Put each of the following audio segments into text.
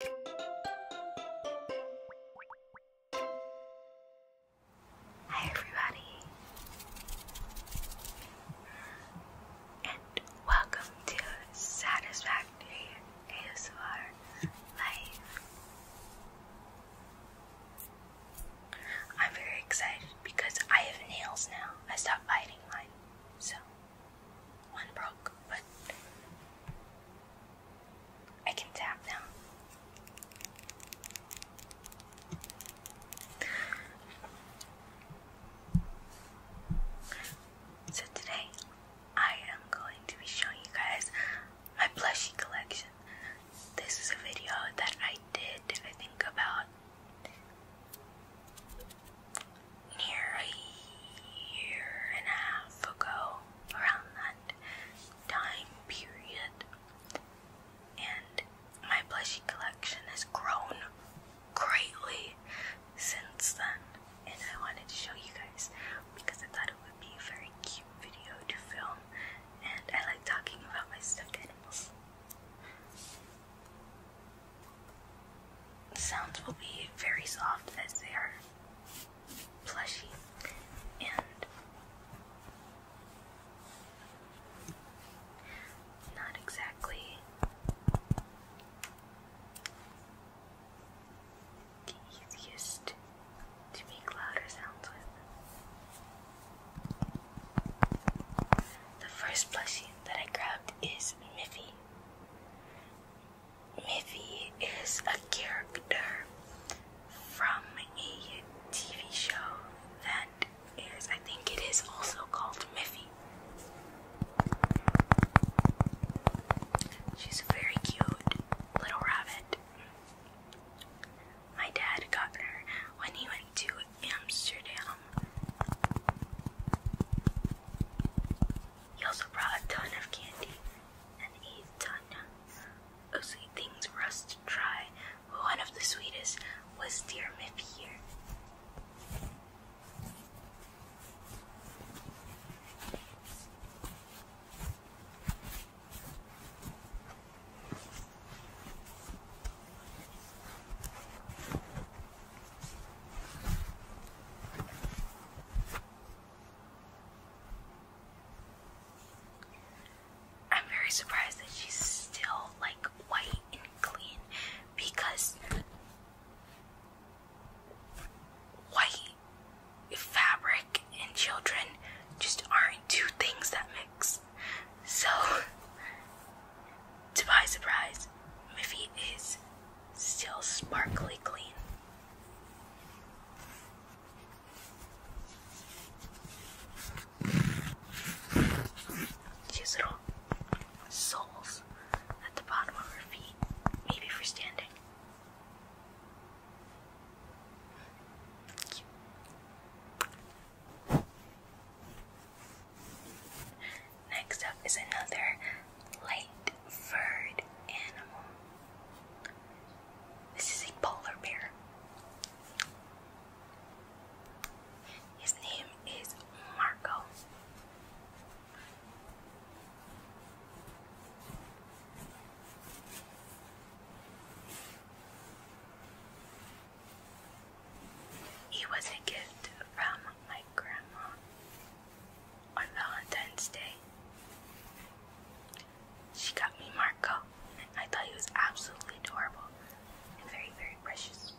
Hi, everybody, and welcome to Satisfactory ASMR Life. I'm very excited because I have nails now. I stopped biting mine, so one broke, but I can tap now. So today I am going to be showing you guys my plushie collection. This is a video that I did I think about near a year and a half ago, around that time period. And my plushie collection has grown greatly since then. And I wanted to show you guys because I thought it would be a very cute video to film. And I like talking about my stuffed animals. The sounds will be very soft as they are plushy and not exactly the easiest to make louder sounds with. The first plushie that I grabbed is Miffy. Miffy is a character from a TV show that is, I think it is also called Miffy. She's a very cute little rabbit. My dad got her when he went to Amsterdam. He also brought a ton of candy, and a ton of sweet things for us to try. one of the sweetest was dear Miffy here. I'm very surprised that she's still like white and clean because white fabric and children just aren't two things that mix. So, to my surprise, Miffy is still sparkly clean. She little soles at the bottom of her feet, maybe for standing. Next up is another light furred animal. This is a polar bear. His name is Marco. He was a gift from my grandma on Valentine's Day. She got me Marco, and I thought he was absolutely adorable and very, very precious.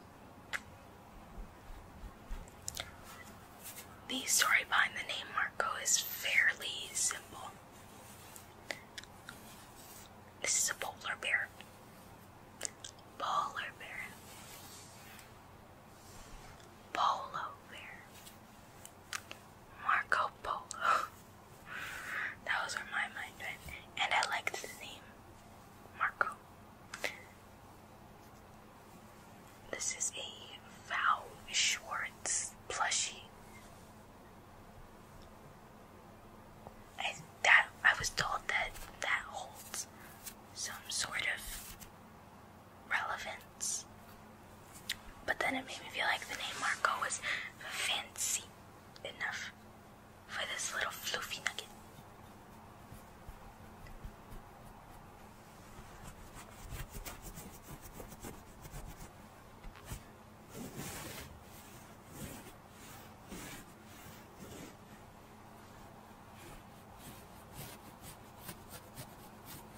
The story behind the name Marco is fairly simple. This is a polar bear. Polar bear. Polo bear. Marco Polo. that was where my mind went. And I liked the name Marco. This is a Val Schwartz plushie. I that I was told that that holds some sort of relevance. But then it made me feel like the name Marco was fancy enough for this little fluffy nugget.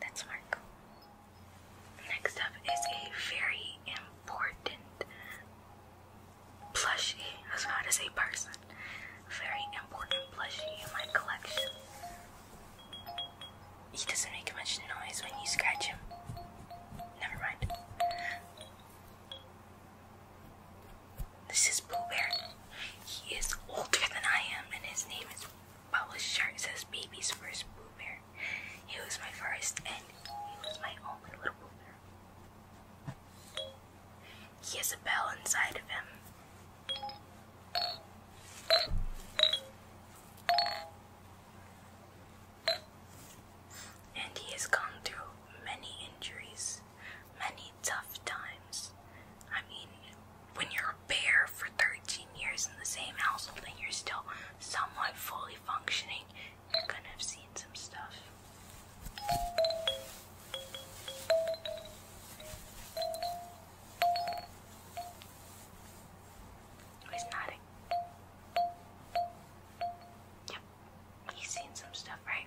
That's Marco. Next up is a very important plushie. I was to say person. Very important plushie in my collection. He doesn't make much noise when you scratch him. Never mind. This is Pooh He is older than I am, and his name is Papa's shirt says baby's first boomer." He was my first and he was my only little Pooh He has a bell inside of him. And he has gone through many injuries, many tough times. I mean, when you're a bear for 13 years in the same household and you're still somewhat fully functioning, you're gonna have seen some stuff. He's nodding. Yep, he's seen some stuff, right?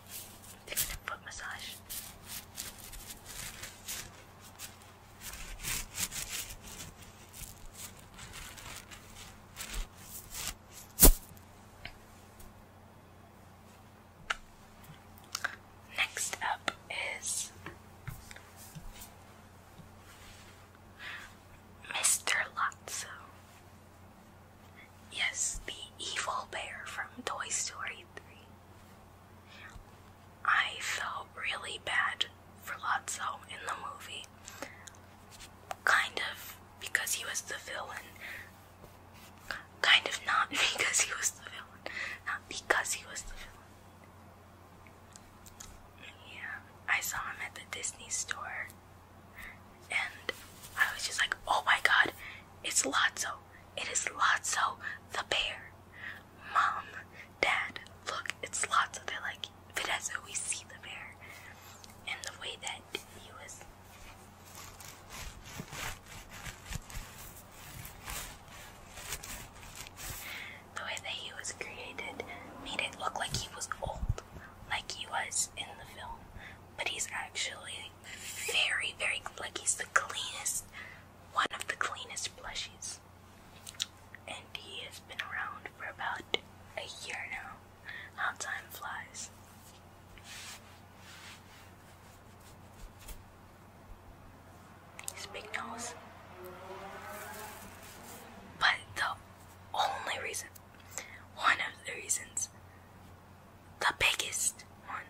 foot massage. Next up is Mr. Lotso. Yes, the evil bear from Toy Story 3. I felt really bad for Lotso in the movie. Kind of because he was the villain. Kind of not because he was the villain. Not because he was the villain. Yeah, I saw him at the Disney store and I was just like, oh my god, it's Lotso. It is Lotso the bear. Mom, Dad, look, it's Lotso. They're like, if we see the bear. And the way that he was. The way that he was created made it look like he was old, like he was in the film, but he's actually very, very like he's the cleanest, one of the cleanest plushies. And he has been around for about a year now. How time flies. His big nose. But the only reason, one of the reasons the biggest one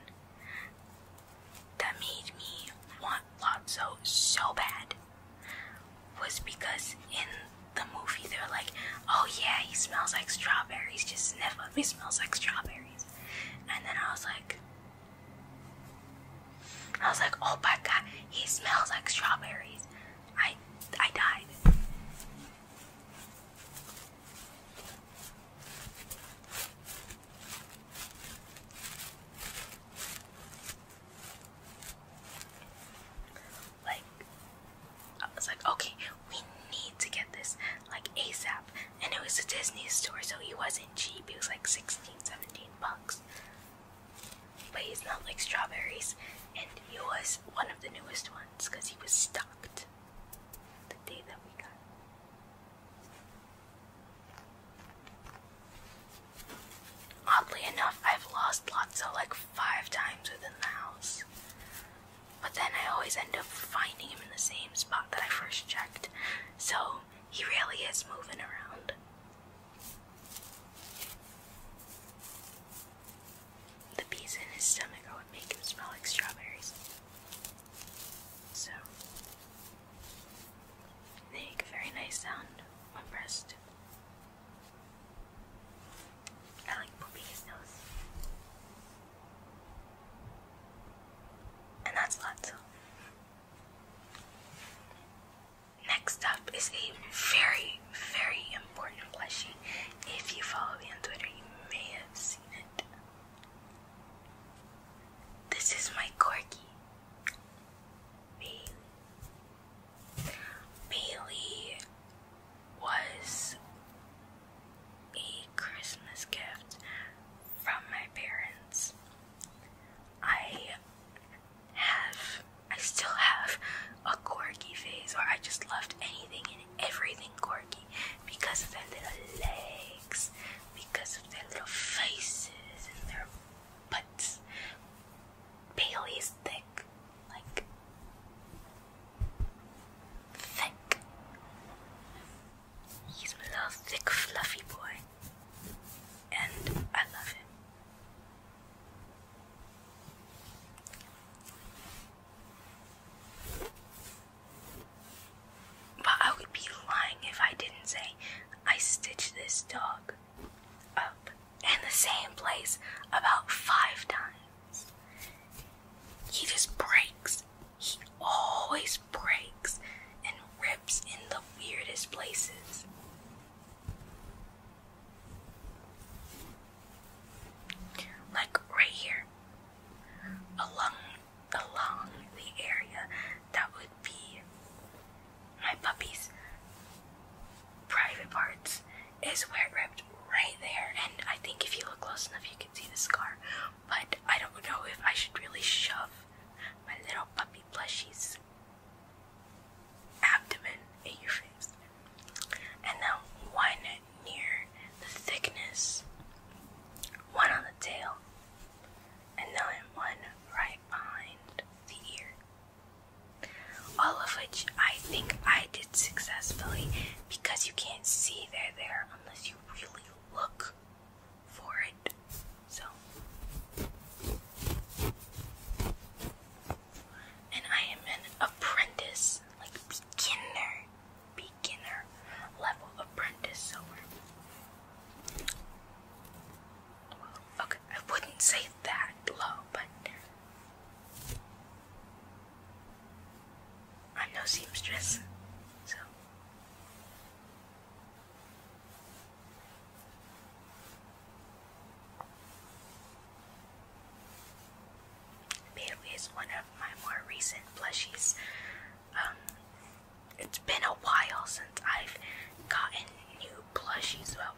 that made me want Lotso so bad was because in the movie they're like, oh yeah, he smells like strawberries, just sniff him, he smells like strawberries. And then I was like, I was like, oh my god, he smells like strawberries. I I died. Like, I was like, okay, we need to get this like ASAP. And it was a Disney store, so he wasn't cheap. He was like 16, 17 bucks. But he smelled like strawberries, and he was one of the newest ones because he was stocked the day that we got Oddly enough, I've lost Lotso like five times within the house. But then I always end up finding him in the same spot that I first checked, so he really is moving around. The bees in his stomach are make him smell like strawberries. So they make a very nice sound when pressed. I like pooping his nose. And that's Lotso. Next up is a very, very important plushie. If you follow me on Twitter, you may have seen it. This is my corgi, Bailey. Bailey was a Christmas gift from my parents. I have, I still have a corgi phase, or I just loved anything and everything corgi because of them little legs because of their little faces and their butts. Bailey thick, like thick. He's a little thick, fluffy boy, and I love him. But I would be lying if I didn't say I stitched this dog up in the same place about five times. He just breaks. He always breaks and rips in the weirdest places. Like right here, along along the area that would be my puppy's private parts is where it ripped right there and I think if you look close enough you can see the scar but I don't know if I should really shove my little puppy plushie's abdomen in your face and then one near the thickness, one on the tail, and then one right behind the ear. All of which I think I did successfully because you can't see they're there unless you really look for it. So, and I am an apprentice, like beginner beginner level apprentice sewer. okay, I wouldn't say that low, but I'm no seamstress, so. Peru is one of my more recent plushies. Um, it's been a while since I've gotten new plushies, well,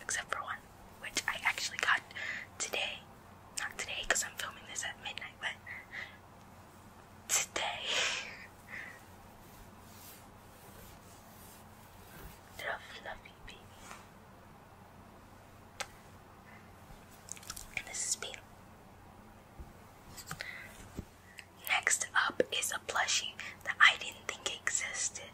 except for one, which I actually got today. Not today, because I'm filming this at midnight, but today. the fluffy baby. this is Beetle. Next up is a plushie that I didn't think existed,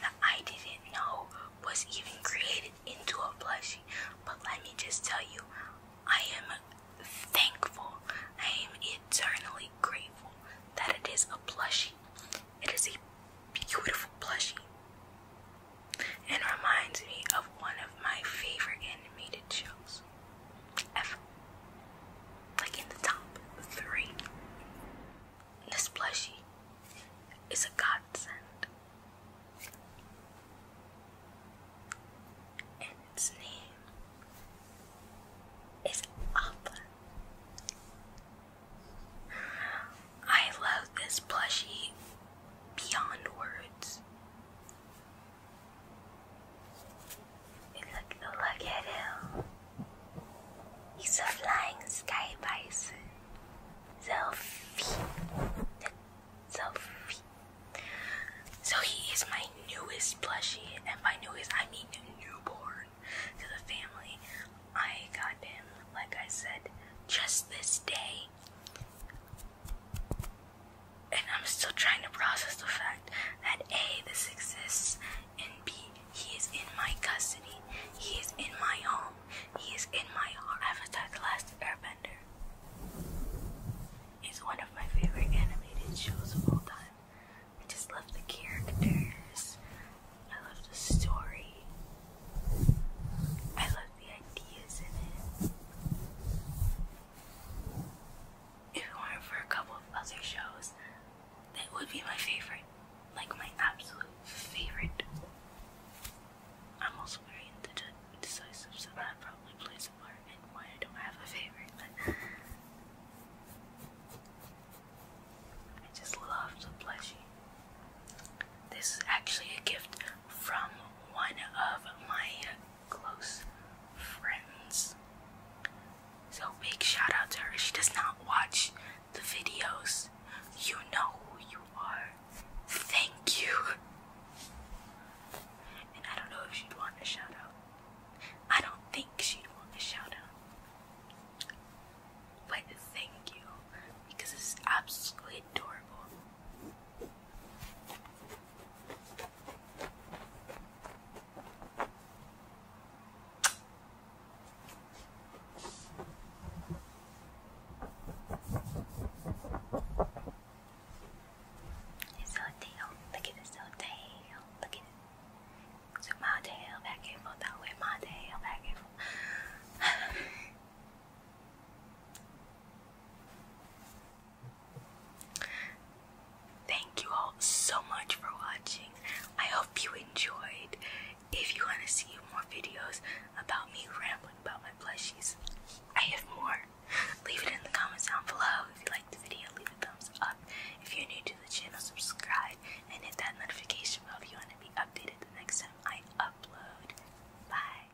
that I didn't know was even created into a plushie. But let me just tell you, I am thankful, I am eternally grateful that it is a plushie. It is a beautiful plushie and reminds me of one of my favorite animated shows ever. Like in the top three. This plushie is a godsend. And its name is Appa. I love this plushie beyond words look, look at him. He's a flying sky bison. Sophie. Sophie. So he is my newest plushie, and by newest I mean newborn to the family. I got him, like I said, just this day and I'm still trying to process the fact that A, this exists, and B, he is in my custody. He is in my home. He is in my Avatar The Last Airbender. It's one of my favorite animated shows of all time. I just love the characters. I love the story. I love the ideas in it. If it weren't for a couple of other shows, that would be my favorite. Like my absolute favorite. I'm also very indecisive, so that probably plays a part in why I don't have a favorite. But I just love the plushie. This is actually a gift from one of my close friends. So big shout out to her. She does not watch the videos. You know who you are. Thank you. And I don't know if she'd want a shout out. I don't think she'd want a shout out. But thank you. Because it's absolutely adorable. It's so tail. Look at this tail. Look at it. So my tail back and forth. That way my tail back and forth. Thank you all so much for watching. I hope you enjoyed. If you want to see more videos about me rambling about my plushies, I have more. Leave it in the comments down below. If you liked the video, leave a thumbs up. If you're new to the channel, subscribe and hit that notification bell if you want to be updated the next time I upload. Bye.